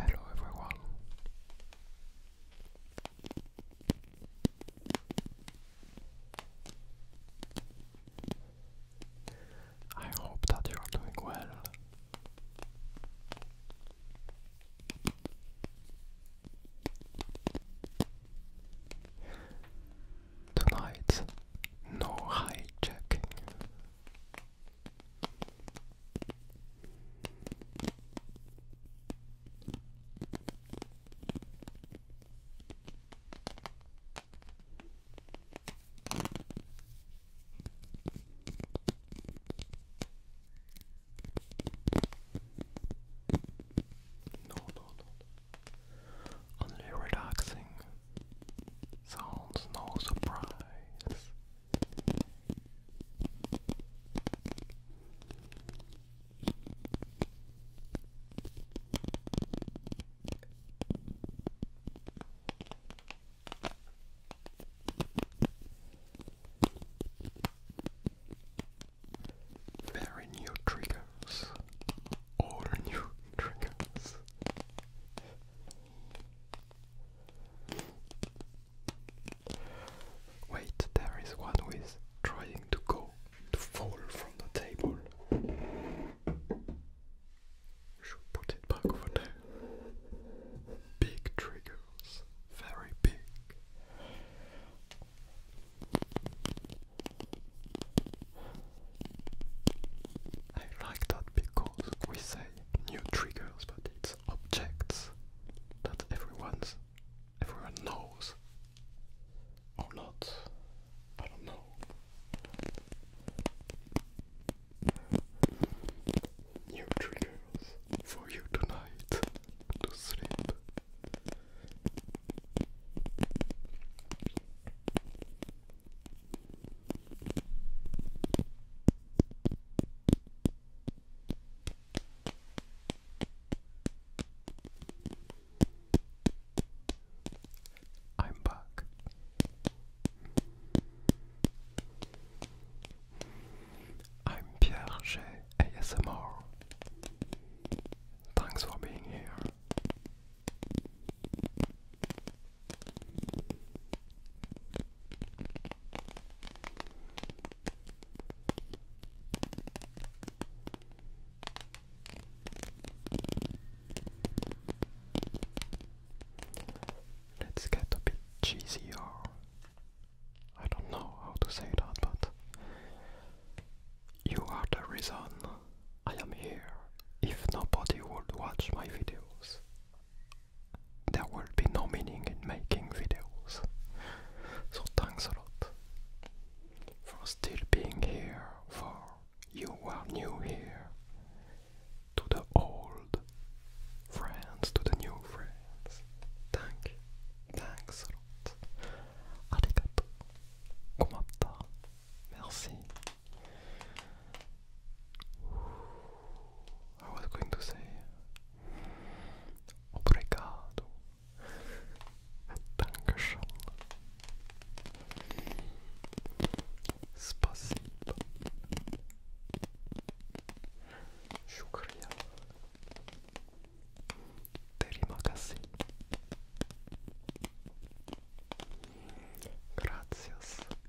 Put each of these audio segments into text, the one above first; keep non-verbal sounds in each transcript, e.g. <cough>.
Hello everyone. I hope that you are doing well. Tonight, no hijacking. No, no, no. Only relaxing sounds, no surprise. Very new triggers, all new triggers. Wait, there is one who is trying to go to fall from the table. Should put it back over there. Big triggers, very big. I like that because we say new triggers, but objects that everyone's everyone knows or not. I don't know. New triggers for you tonight to sleep. I'm back. I'm Pierre J. ASMR. Thanks for being here. Let's get a bit cheesy or I don't know how to say that, but you are the reason I am here. If nobody would watch my videos, there will be no meaning in making videos. So thanks a lot for still being here, for you are new here. To the old friends, to the new friends. Thank you. Thanks a lot. Arigato. Komatta. Merci. I was going to say Obrigado. you. Спасибо. Шукрия. Terima kasih.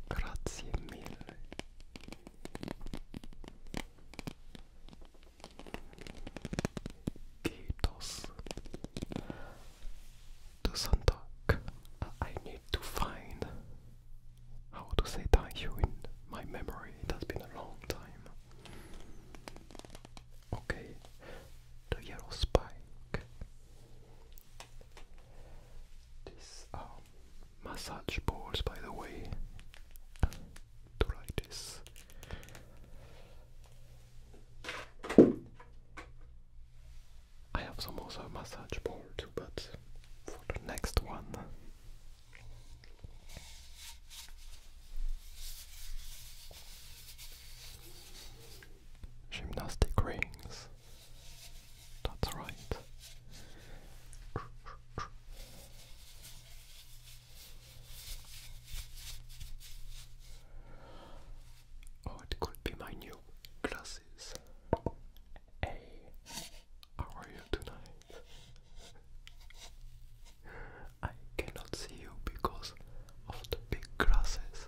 Grazie mille. Kiitos. To Santak. I need to find how to say that you in my memory. It has been a long time. Okay. The yellow spike. This um massage balls, by the way, to I have some also massage ball too, but for the next one. Gymnastic rings. That's right. Oh, it could be my new glasses. Hey, how are you tonight? I cannot see you because of the big glasses.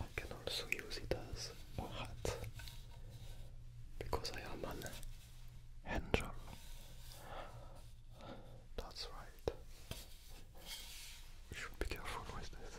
I can also use it as a hat because I am an angel. That's right. We should be careful with this.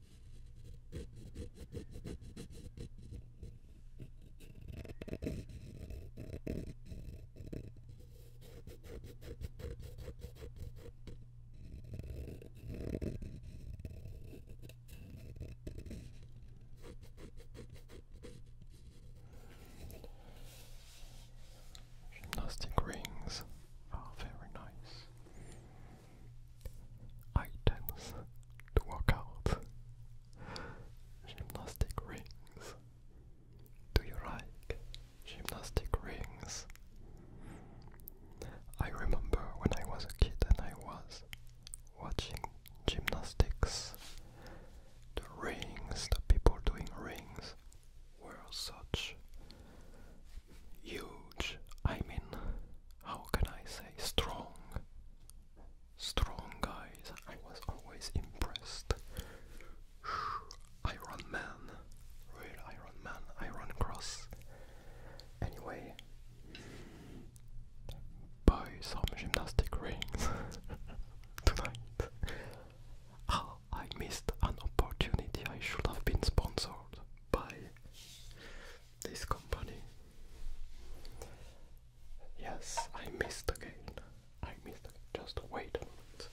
Gymnastic rings are very nice items to work out. Gymnastic rings. Do you like gymnastic rings? I remember when I was a kid and I was watching gymnastics. The rings, the people doing rings, were such huge. I mean, how can I say strong? Strong guys. I was always impressed. <sighs> Iron Man, real Iron Man, Iron Cross. Anyway, buy some gymnastic rings <laughs> tonight. Oh, I missed an opportunity. I should have been sponsored by this company. Yes, I missed again. I missed again. Just wait a minute.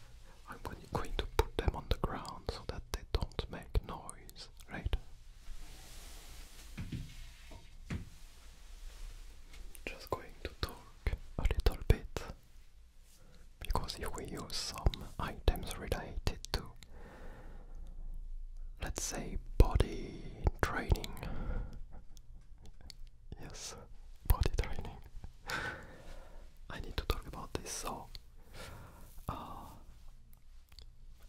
I'm going to put them on the ground so that they don't make noise, right? Just going to talk a little bit because if we use some items related to let's say body training. yes, body training. <laughs> I need to talk about this. So, uh,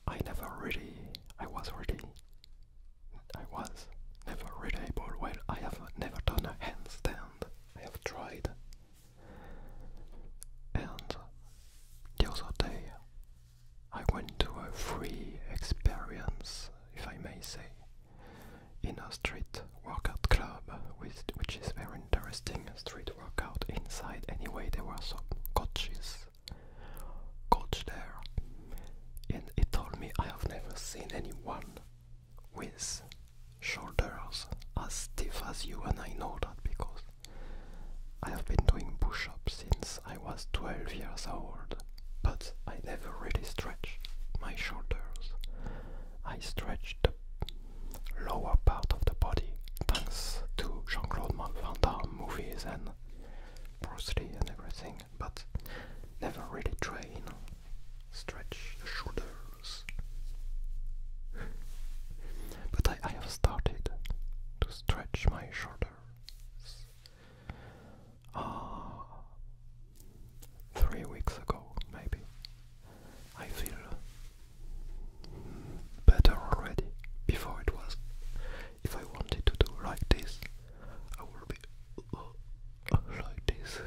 I never really, I was really, I was never really able. Well, I have never done a handstand. I have tried. And the other day I went to a free experience, if I may say, in a street workout club, which is very interesting. Street workout inside, anyway, there were some coaches, coach there, and he told me I have never seen anyone with shoulders as stiff as you, and I know that because I have been doing push-ups since I was 12 years old, but I never really stretch my shoulders. I stretch the lower part of the body thanks to Jean-Claude Van Damme movies and Bruce and everything, but never really train stretch the shoulders. <laughs> but I, I have started to stretch my shoulders. Uh, three weeks ago, maybe. I feel better already. Before it was, if I wanted to do like this, I would be uh, like this.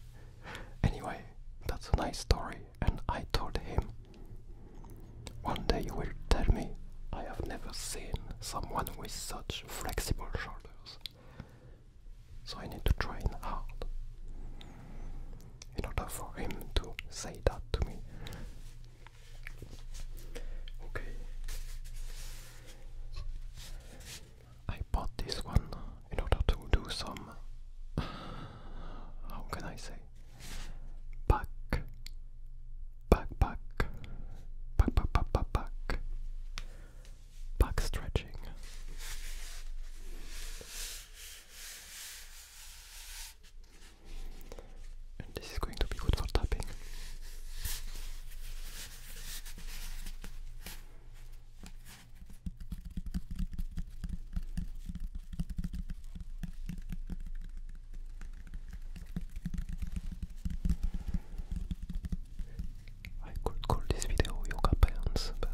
<laughs> anyway, that's a nice story, and I told him one day you will tell me I have never seen someone with such flexible shoulders. So I need to train hard. In order for him to say that to me. Okay. I bought this one in order to do some. <sighs> How can I say Buck, buck, buck, buck, buck, buck, buck, buck, buck stretching. And this is going to be good for tapping. I could call this video yoga pants, but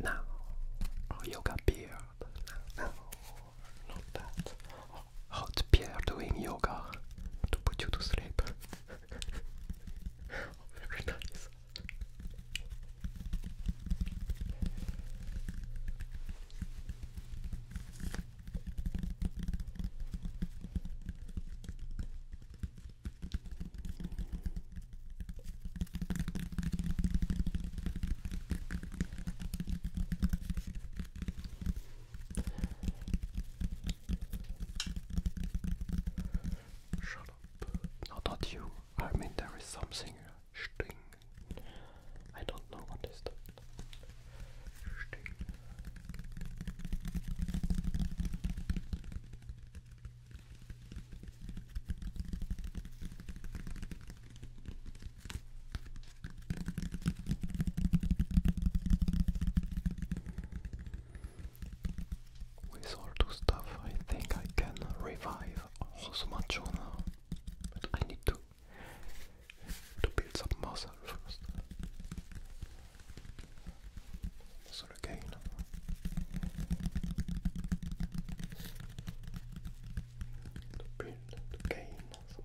now or oh, yoga beard. No, not that. hot beer doing yoga to put you to sleep. <laughs> oh, very Shut up. not you. I mean, there is something Sting. I don't know what is that. With all two stuff, I think I can revive Hosuma Chona. I need to to build some muscle first. Muscle again. To build, to gain some muscle.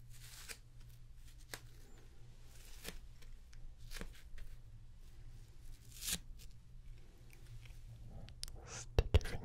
Sticky fingers.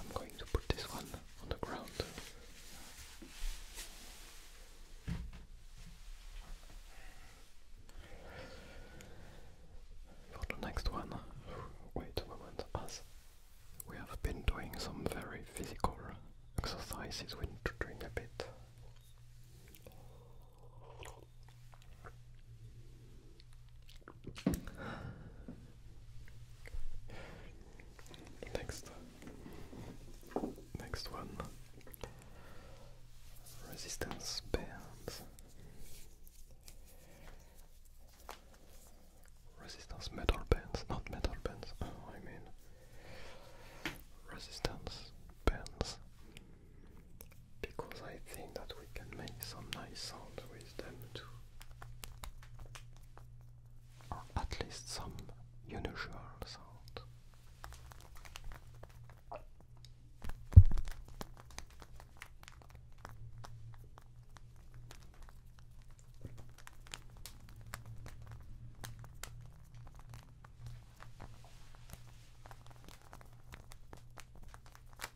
I'm going to put this one on the ground. For the next one, wait a moment, as we have been doing some very physical exercises, we need to a bit. Next, next one resistance bands, resistance metal bands, not metal bands. Oh, I mean resistance bands because I think that we can make some nice sounds with them too. Or at least some unusual sounds.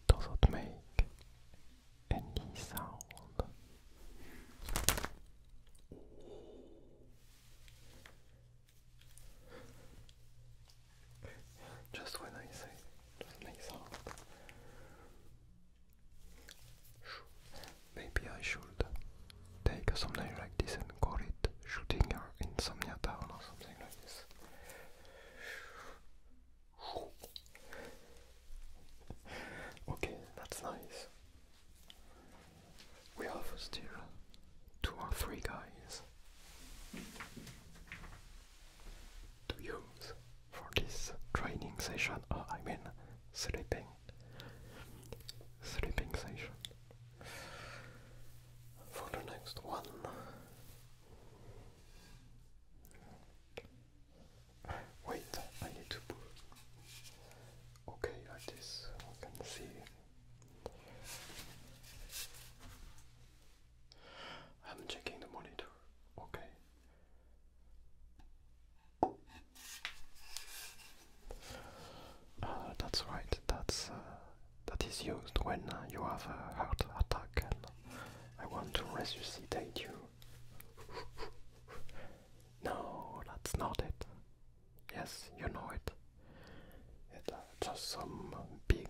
It doesn't make any sound. Just when I say doesn't sound. Maybe I should take something like this and call it shooting your insomnia town or something like this. Okay, that's nice. We have still two or three guys to use for this training session, uh, I mean sleeping sleeping session. For the next one, Wait, I need to pull. Okay, like this, I can see. I'm checking the monitor. Okay. Uh, that's right. That's uh, that is used when uh, you have a heart attack, and I want to resuscitate you. <laughs> No, that's not it. Yes, you know it. It's uh, just some big,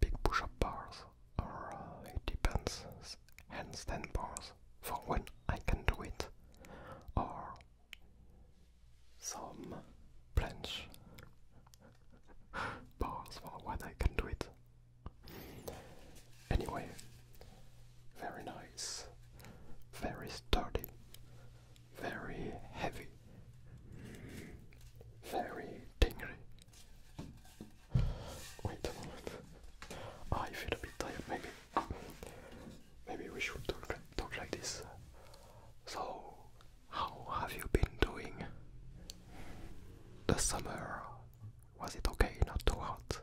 big push-up bars, or uh, it depends, handstand bars for when I can do it, or some planche <laughs> bars for when I can do it. Anyway, very nice, very sturdy, very heavy, very tingly. Wait a moment, ah, I feel a bit tired. Maybe, maybe we should talk like this. So, how have you been doing? The summer was it okay? Not too hot.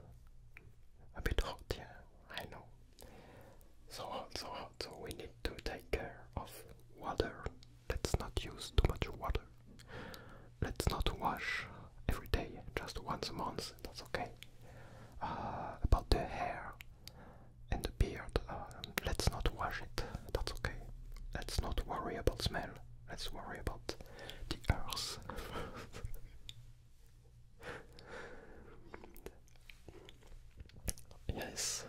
A bit hot, yeah, I know. So hot, so hot, so we need to take care of water. Let's not use too much water. Let's not wash every day, just once a month, that's okay. Uh, about the hair and the beard, um, let's not wash it, that's okay. Let's not worry about smell. Let's worry about the Earth. yes,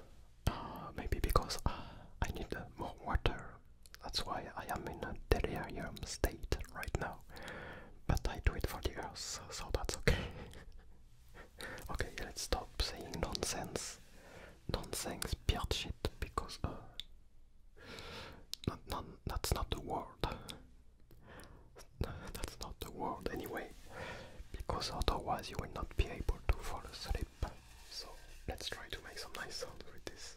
uh, maybe because uh, I need uh, more water. That's why I am in a delirium state right now. But I do it for the Earth, so that's okay. <laughs> okay, let's stop saying nonsense. Nonsense, beard shit, because that's not the word. <laughs> That's not the word anyway, because otherwise you will not be able to fall asleep. So let's try to make some nice sounds with this.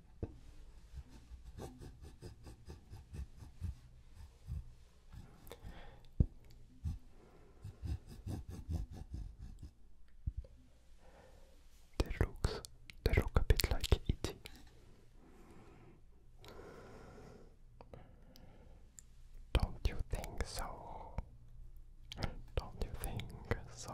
They looks they look a bit like it. Don't you think so? Don't you think so?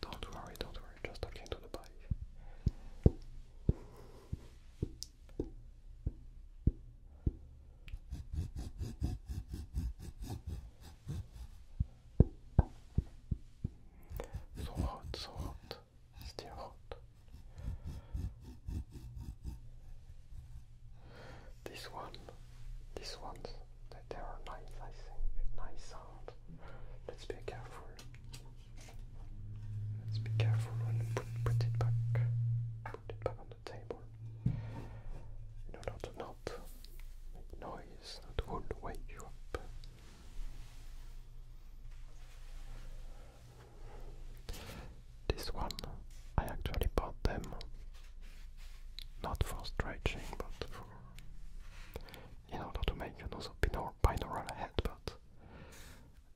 Don't worry, don't worry, just talking to the bike. So hot, so hot. Still hot. This one, this one, they are nice, I think. Nice sound. Let's be careful. Let's be careful put, it back. Put it back on the table. In order not make noise that wake you up. This one, I actually bought them not for stretching, but for in order to make another binaural, binaural head, but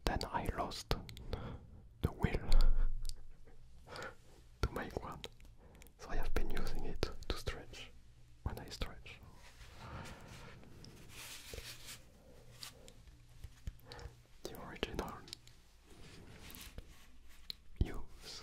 then I lost the will <laughs> to make one, so I have been using it to stretch when I stretch the original use.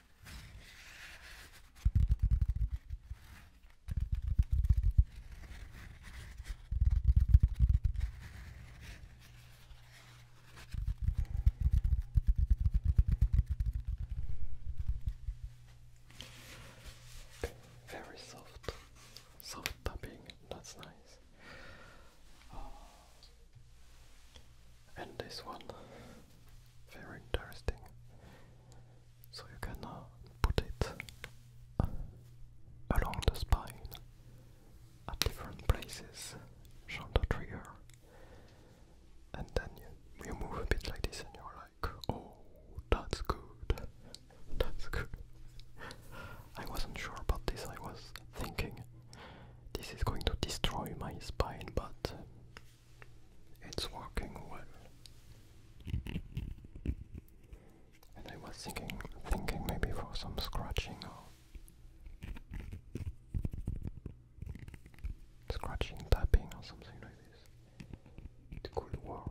Very soft, soft tapping. That's nice. Ah. and this one very interesting. So you can uh, put it uh, along the spine at different places, show the trigger, and then you move a bit like this, and you're like, oh, that's good, that's good. I wasn't sure about this, I was thinking this is going to destroy my spine, but um, it's walking wood. And I was thinking thinking maybe for some scratching or scratching, tapping or something like this. It could work.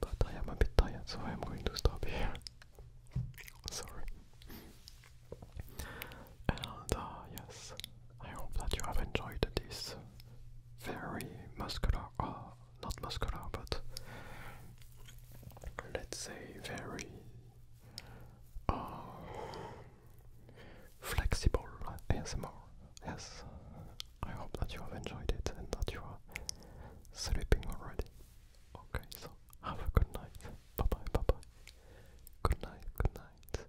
But I am a bit tired, so I'm going to stop here. Sorry. And uh, yes, I hope that you have enjoyed this very muscular, or ah, not muscular, but let's say very uh, flexible ASMR. Yes, I hope that you have enjoyed it and that you are sleeping already. Okay, so have a good night. Bye bye, bye bye. Good night, good night.